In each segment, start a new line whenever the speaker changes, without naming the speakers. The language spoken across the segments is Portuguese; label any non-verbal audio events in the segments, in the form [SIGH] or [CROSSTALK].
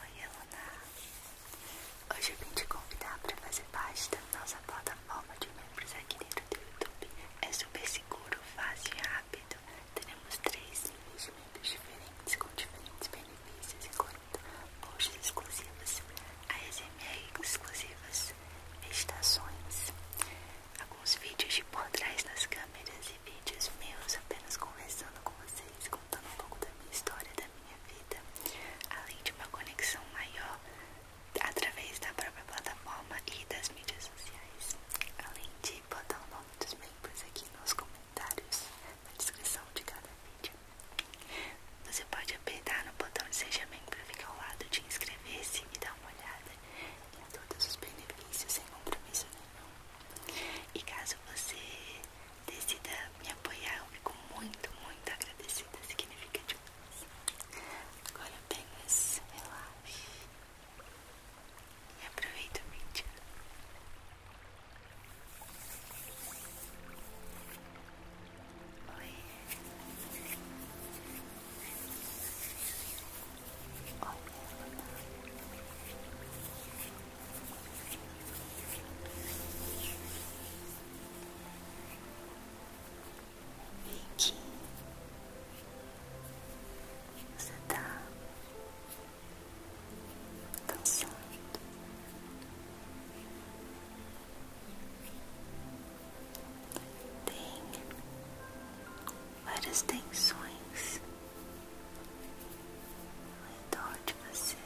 Oi, Luna. Hoje eu vim te convidar para fazer parte da nossa plataforma de membros aqui dentro do YouTube. É super seguro, fácil e rápido. Enquanto teremos três investimentos diferentes com diferentes benefícios, e enquanto bolsas exclusivos, ASMR exclusivas, meditações, alguns vídeos de por trás das câmeras e vídeos meus apenas conversando com vocês, contando um pouco da minha história, da minha vida, além de uma conexão maior através da própria plataforma e das mídias sociais, além de botar o nome dos membros aqui nos comentários na descrição de cada vídeo. Você pode apertar no botão de Seja para ficar ao lado de inscrever-se e dar uma olhada em todos os benefícios sem compromisso nenhum. E caso você decida me apoiar, eu fico muito, muito agradecida, significa demais. Agora apenas relaxe. E aproveita o vídeo. Oi. Olá. Vicky, você tá tem várias tensões ao de você.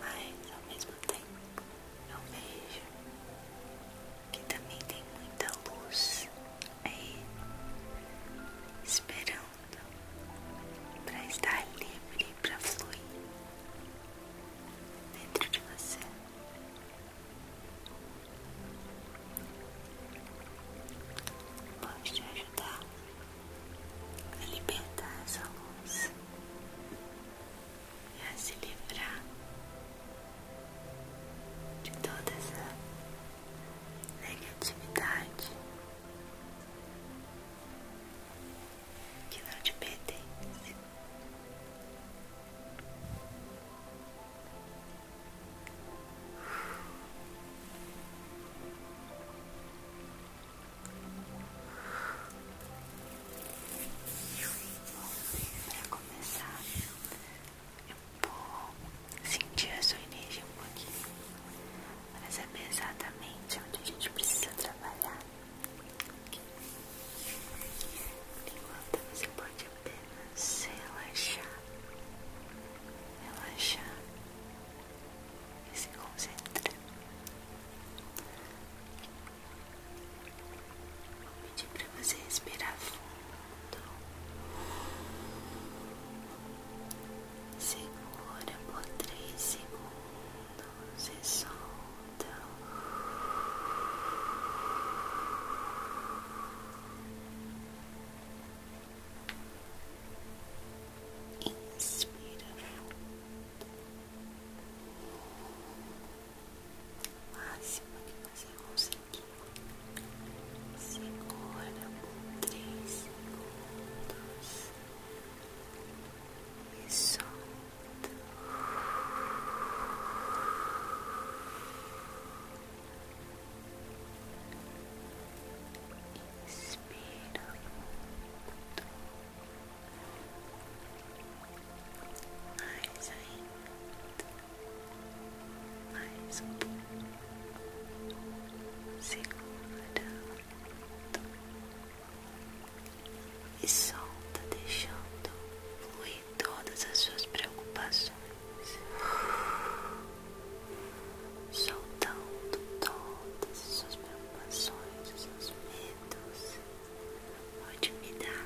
Mas ao mesmo tempo eu vejo que também tem muita luz aí esperando para estar livre para fluir dentro de você. Pode te ajudar a libertar essa luz e se livrar de toda essa negatividade que não te pertence. Para começar, eu vou sentir a sua energia um pouquinho para saber exatamente onde a gente precisa trabalhar. Enquanto você pode apenas relaxar, relaxar e se concentrar. Vou pedir para você respirar fundo. Segura por três segundos e solta. Inspira fundo o máximo que você conseguir. Segura por três segundos e solta. Inspira mais ainda, mais um pouco, e solta, deixando fluir todas as suas preocupações, soltando todas as suas preocupações, os seus medos. Pode me dar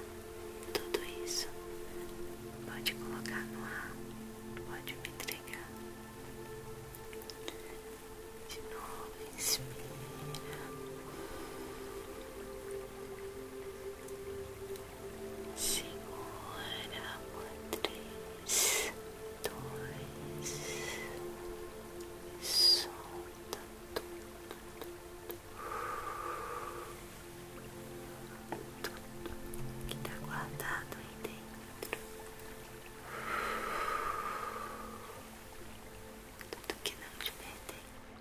tudo isso. Pode colocar no ar. Pode me entregar. De novo, inspira. Segura por três, dois, solta tudo que está guardado aí dentro, tudo que não te pertence.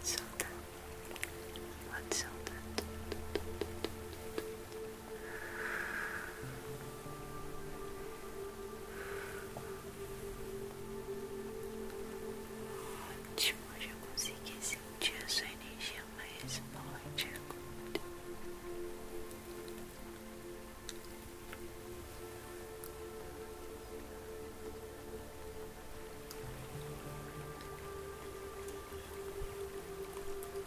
Pode soltar, pode soltar Ótimo, já consegui sentir a sua energia mais forte agora.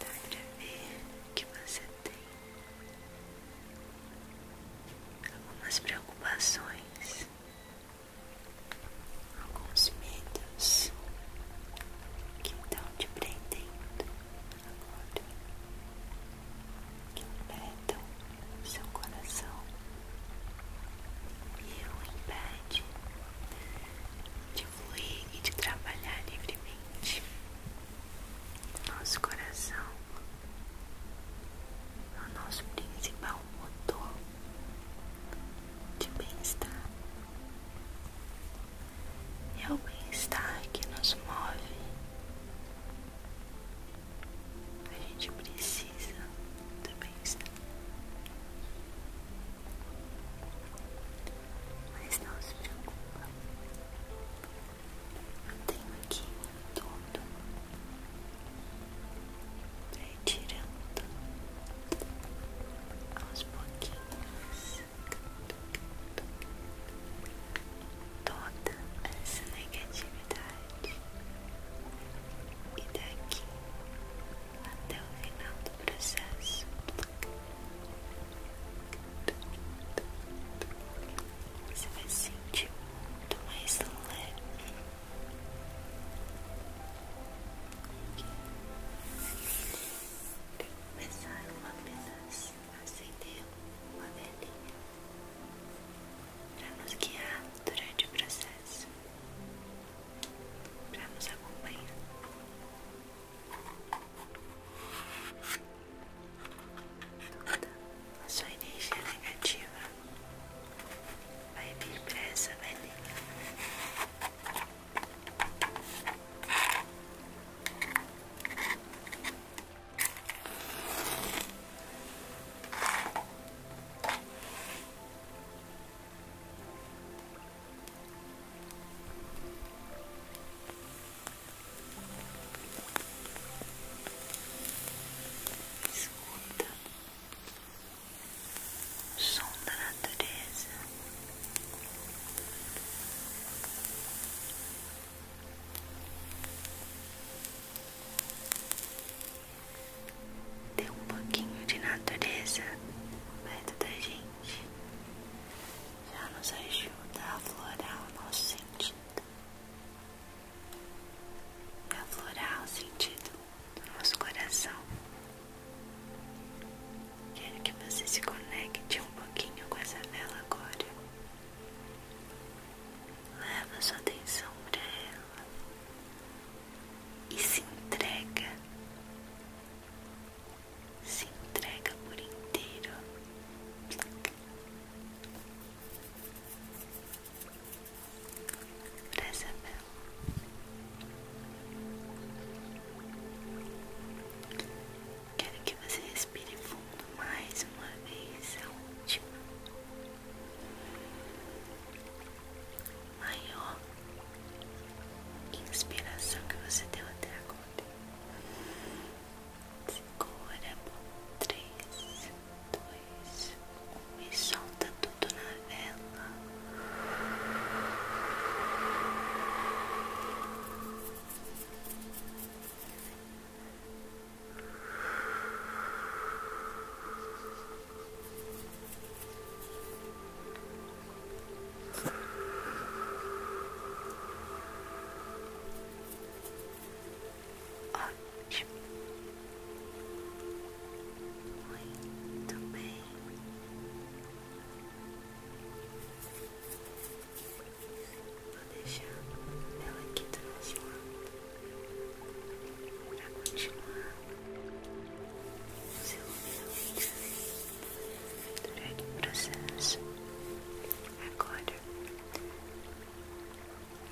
Dá pra ver que você tem algumas preocupações, alguns medos que estão te prendendo agora que o tá seu coração e o impede de fluir e de trabalhar livremente. Nosso coração é o nosso principal motor de bem-estar é o bem-estar que nos move. A gente precisa do bem-estar. Mas não se preocupa. Eu tenho aqui tudo para retirando tirando aos pouquinhos toda essa negatividade e daqui até o final do processo você vai sentir muito mais leve Tem que começar com apenas acender uma velhinha para nos guiar durante o processo, para nos acompanhar. Toda a sua energia negativa vai vir para essa velhinha. Escuta o som da natureza. Tem um pouquinho de natureza perto da gente, já nos ajuda a aflorar o nosso sentido a aflorar o sentido do nosso coração. Quero que você se conecte um pouquinho com essa vela agora. Leva sua atenção para ela e se entrega, se entrega por inteiro. Pra Isabel. Quero que você respire fundo mais uma vez, a é última. Maior inspiração que você deu até agora. Segura por 3, 2, e solta tudo na vela. Ótimo. Muito bem. Vou deixar ela aqui transformando para continuar o seu melhoramento durante o processo. Agora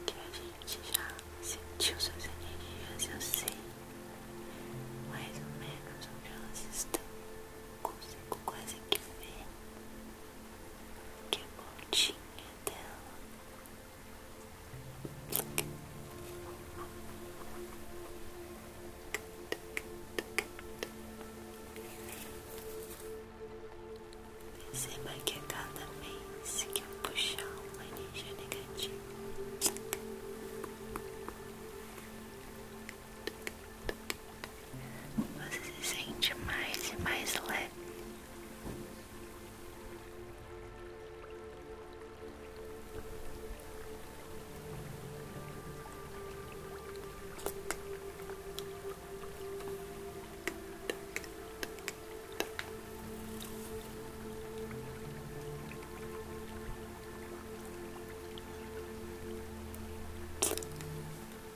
que a gente já sentiu suas energias, eu sei mais ou menos onde elas estão. Consigo quase que ver que a pontinha dela Perceba que a cada mês eu puxar uma energia negativa, você se sente mais e mais leve.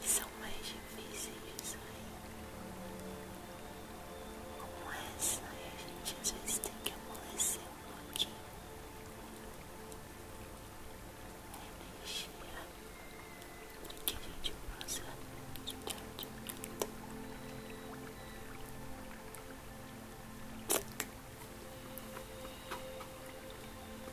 são mais difíceis aí. Como essa, aí a gente às vezes tem que amolecer um pouquinho. A energia para que a gente possa tirar de tudo.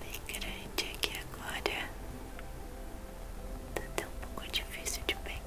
bem grande aqui agora. Tá tão pouco difícil de pegar.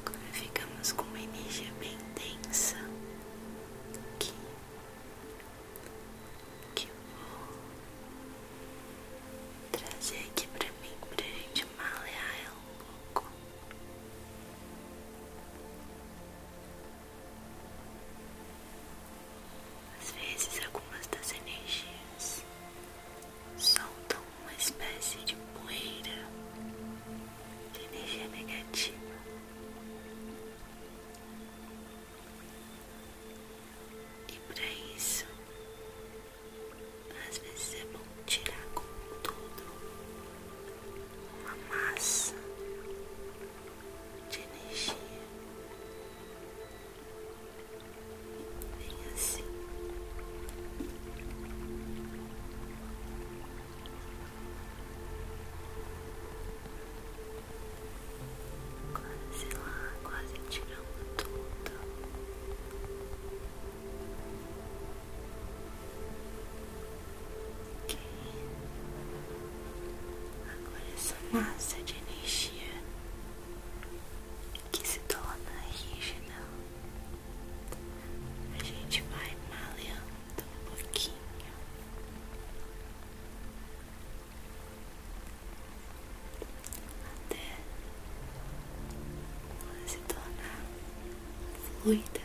Agora ficamos com uma energia bem densa que, que vou trazer aqui pra mim pra gente malear ela um pouco. Às vezes, algumas das energias soltam uma espécie de poeira de energia negativa. E para isso, às vezes é bom tirar com tudo uma massa de energia vem assim quase lá, quase tirando tudo. Ok. Agora essa é massa de energia que se torna rígida, a gente vai maleando um pouquinho. Até ela se tornar fluida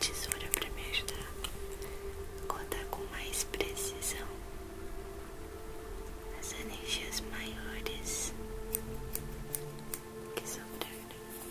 tesoura para me ajudar a contar com mais precisão as energias maiores que sobraram. Doze,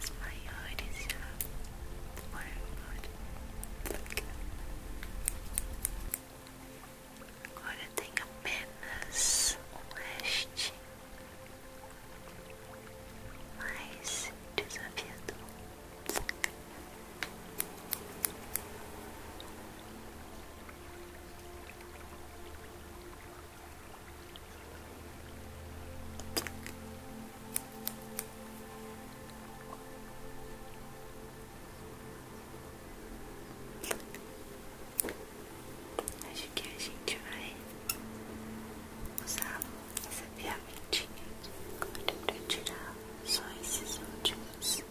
as maiores já foram embora. Agora tem apenas um leste mais desafiador. Acho que a gente vai usar essa ferramentinha agora para tirar só esses últimos. Aqui.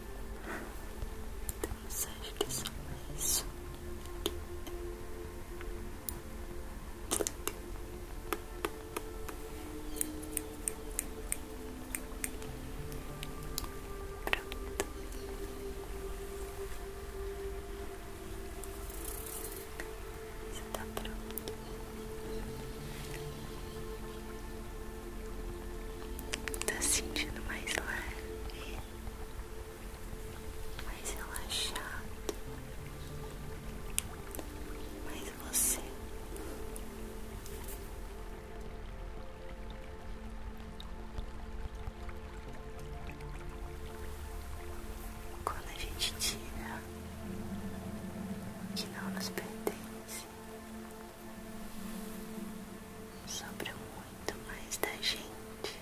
Então acho que é isso Você tá pronto? Tá se sentindo mais leve, mais relaxado, mais você. Quando a gente tira que não nos pertence, Sobra muito mais da gente.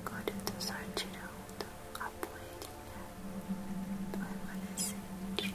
Agora eu tô só tirando a poeirinha do remanescente.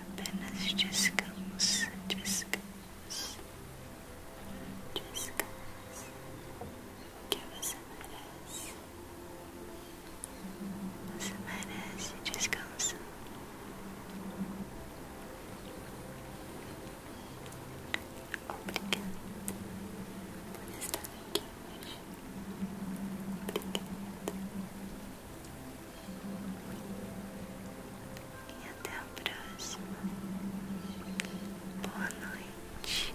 Apenas descansa, descansa, descansa, que você merece. Você merece descanso. Obrigada por estar aqui Obrigada. E até a próxima. Boa noite.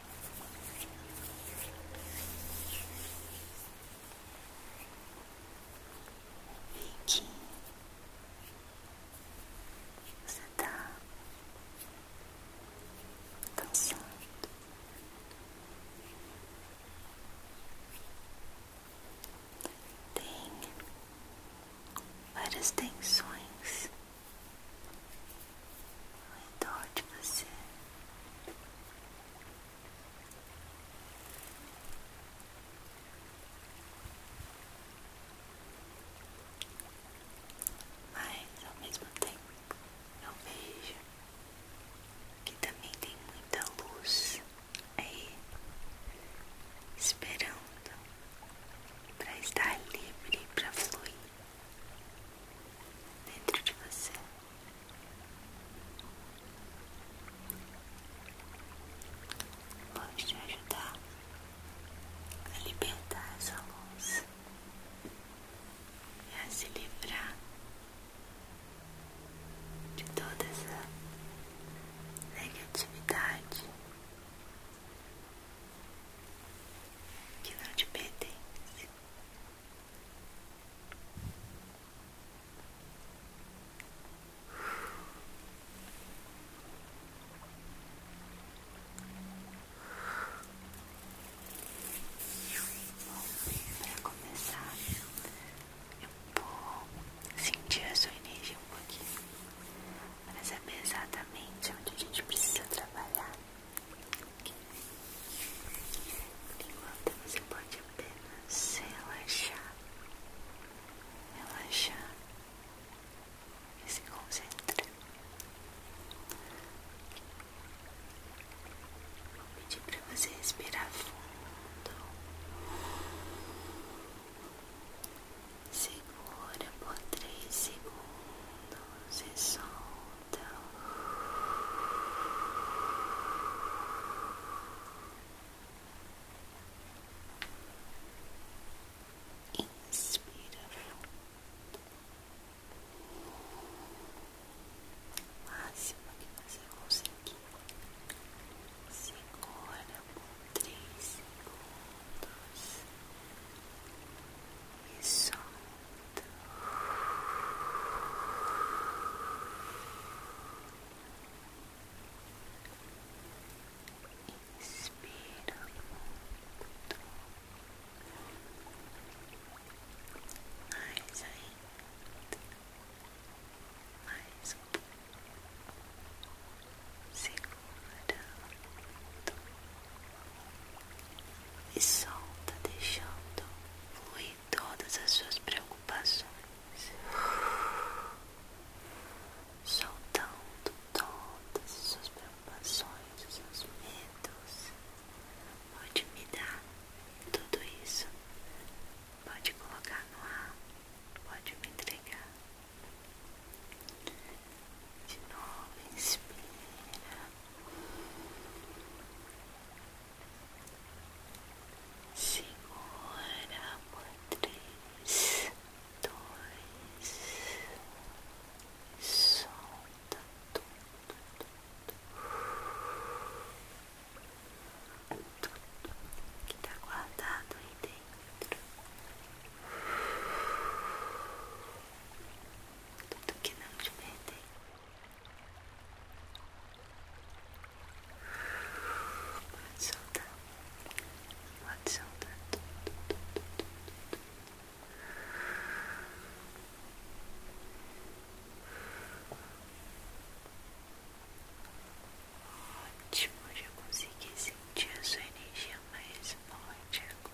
que você tá dançando. Tem várias tensões ao então, redor de você. Mas ao mesmo tempo eu vejo que também tem muita luz aí esperando para estar livre para fluir dentro de você. Vamos te ajudar a libertar essa luz e a se livrar de toda essa negatividade que não te pertence. Para começar, eu vou sentir a sua energia um pouquinho para saber é exatamente onde a gente precisa trabalhar. Enquanto você pode apenas relaxar, relaxar e se concentrar. Vou pedir para você respirar fundo. Segura por três segundos e solta. Então, inspira o máximo que você conseguir. Segura por três segundos e solta. Inspira muito. Mais ainda. Mais um pouco. Segura E solta, deixando fluir todas as suas preocupações, soltando todas as suas preocupações, os seus medos. Pode me dar tudo isso, pode colocar no ar, pode me entregar. De novo, inspira segura por três, dois, solta tudo, tudo, que tá guardado aí dentro, tudo que não te perdeu. Pode soltar, pode soltar Ótimo, já consegui sentir a sua energia mais forte agora.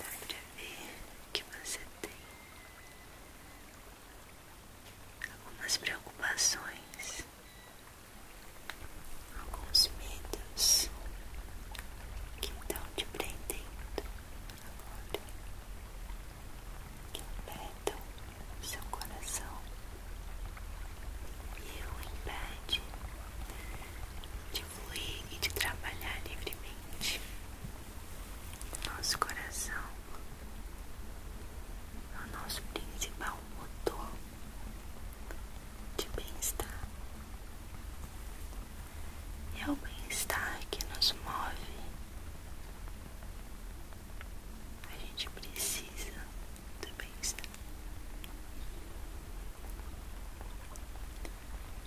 Dá pra ver que você tem algumas preocupações, alguns medos que estão te prendendo agora, que apertam seu coração e o impede de fluir e de trabalhar livremente. Nosso coração o nosso principal motor de bem-estar. É o bem-estar que nos move. A gente precisa do bem-estar.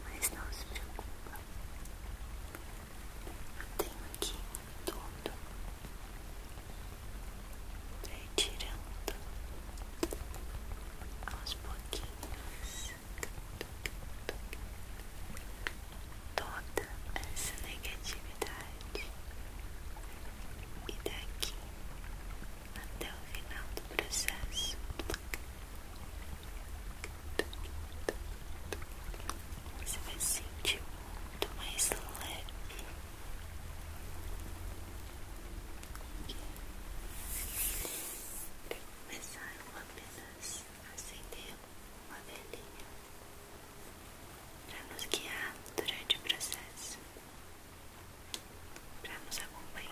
Mas não se preocupa. Eu tenho aqui tudo, retirando aos pouquinhos toda essa negatividade e daqui até o final do processo. Você vai sentir muito mais leve. começar, eu apenas acender uma velhinha para nos guiar durante o processo, para nos acompanhar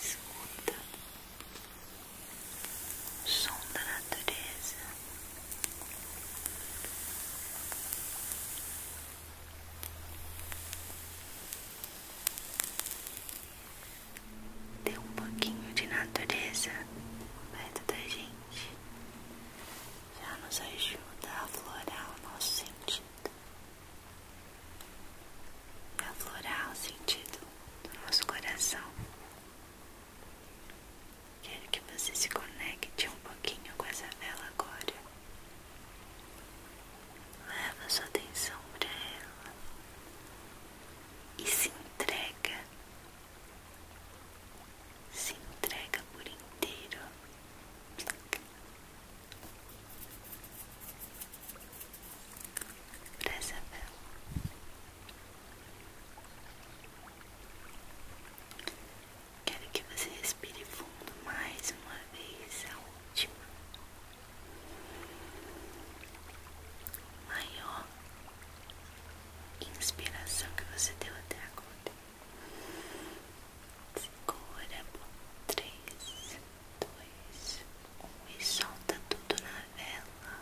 Escuta o som da natureza. Tem um pouquinho de natureza perto da gente. Já nos ajuda a aflorar o nosso sentido aflorar o sentido do nosso coração. Quero que você se conecte um pouquinho com essa vela agora. Leva sua atenção para ela e se entrega. Se entrega por inteiro pra Isabel. Quero que você respire fundo mais uma vez, a última. Maior inspiração que você deu até agora. Segura por três dois, um e solta tudo na vela.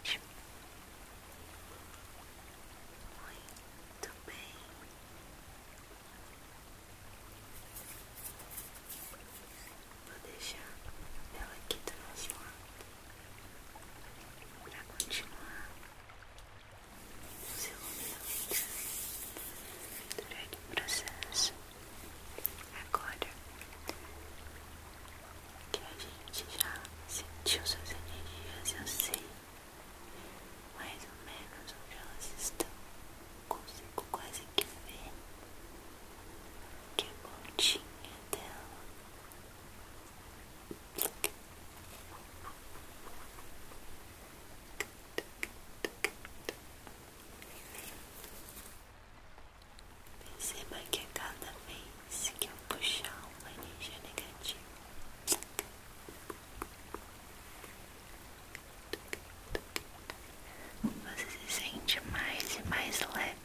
Ótimo. Muito bem. Vou deixar ela aqui do nosso lado para continuar o seu movimento durante o processo. Agora que a gente já sentiu suas energias, eu sei mais ou menos onde elas estão. Consigo quase que ver que pontinha dela. Perceba que cada vez que eu puxar uma energia negativa, você se sente mais e mais leve.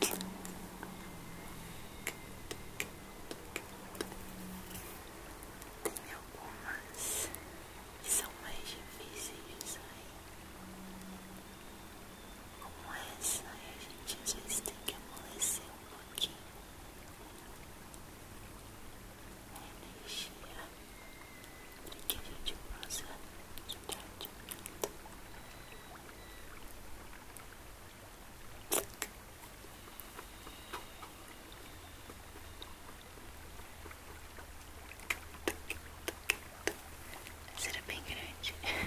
Tem algumas que são mais difíceis aí, como essa, aí né? a gente às vezes tem que amolecer um pouquinho a energia que a gente possa estar Será bem grande. [LAUGHS]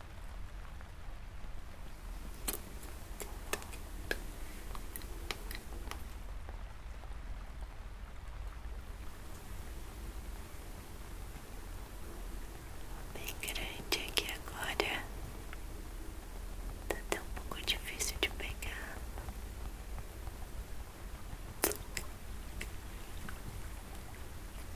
Bem grande aqui agora. Tá até um pouco difícil de pegar.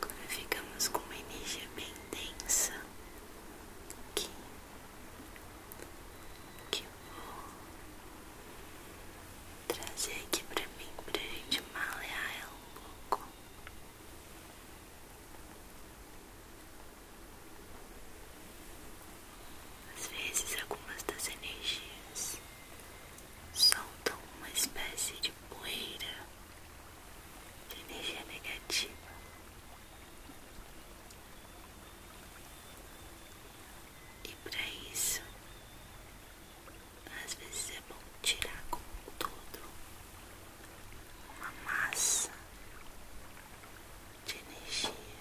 Quando ficamos com uma energia bem densa, que vou trazer aqui pra mim pra gente malear ela um pouco. Às vezes algumas das energias soltam uma espécie de poeira de energia negativa. E para isso, às vezes é bom tirar com tudo uma massa de energia.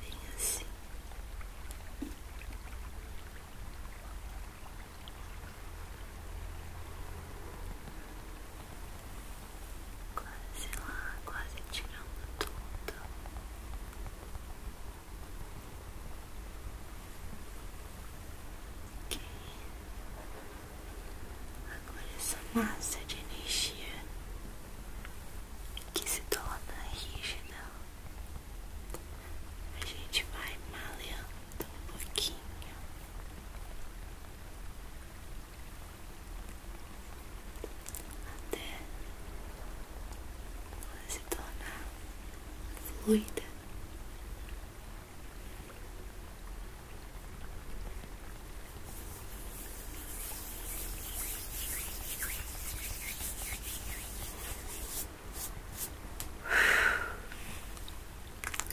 Vem assim quase lá, quase tirando tudo. Ok, agora essa massa de energia que se torna rígida, a gente vai maleando um pouquinho até ela se tornar fluida.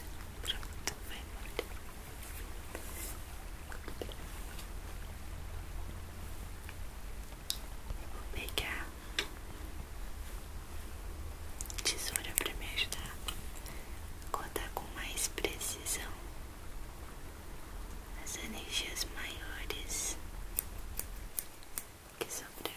Pronto, vai embora. Vou pegar tesoura para me ajudar a cortar com mais precisão as energias maiores que sobraram.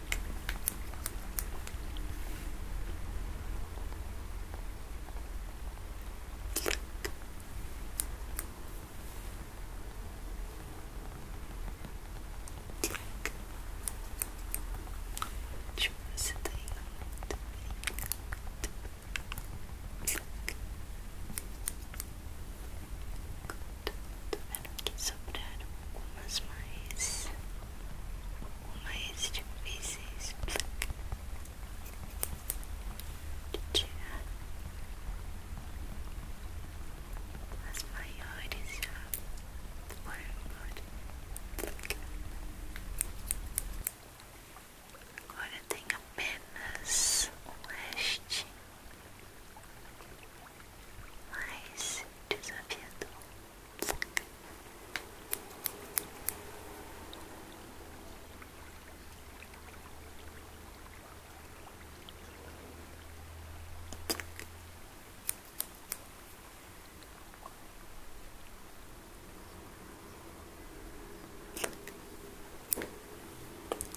Tipo, você tá indo Tô vendo que sobraram algumas mais o mais é difíceis de tirar as maiores já foram Agora tem apenas um leste mais desafiador.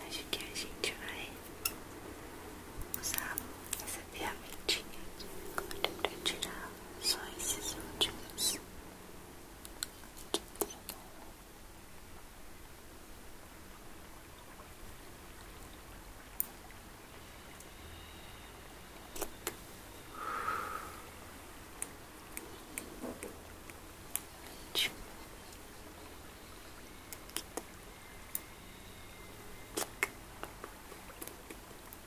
Acho que a gente vai usar esse você vê a mentinha agora para tirar só esses últimos. Aqui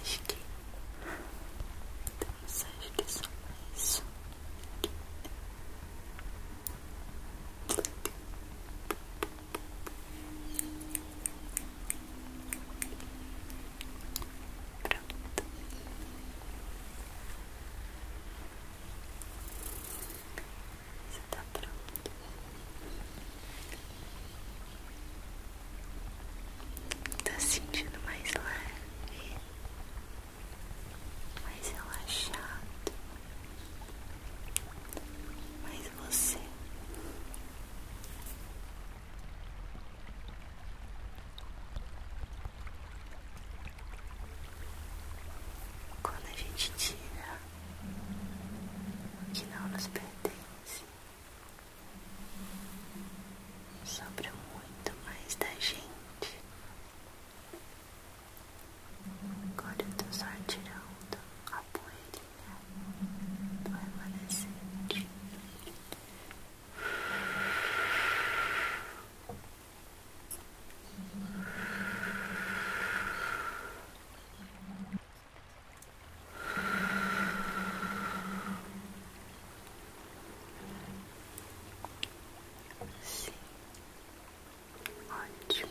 Acho que temos, acho que só isso. Pronto. Você tá pronto. Tá sentindo mais leve, mais relaxado, mais você. Quando a gente tira o que não nos pertence, sobra muito mais da gente. Agora eu tô só tirando a poeirinha do remanescente. Sim, ótimo.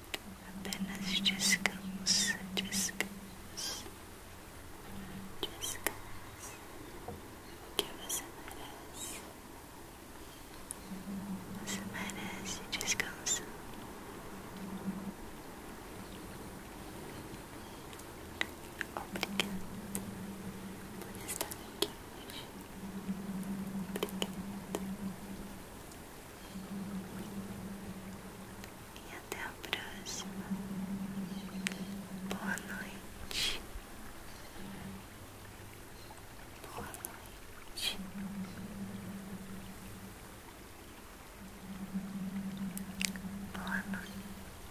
Apenas descansa, descansa, descansa, que você merece. Você merece descanso. Obrigada por estar aqui hoje. Obrigada e até a próxima. Boa noite. Boa noite. Boa noite.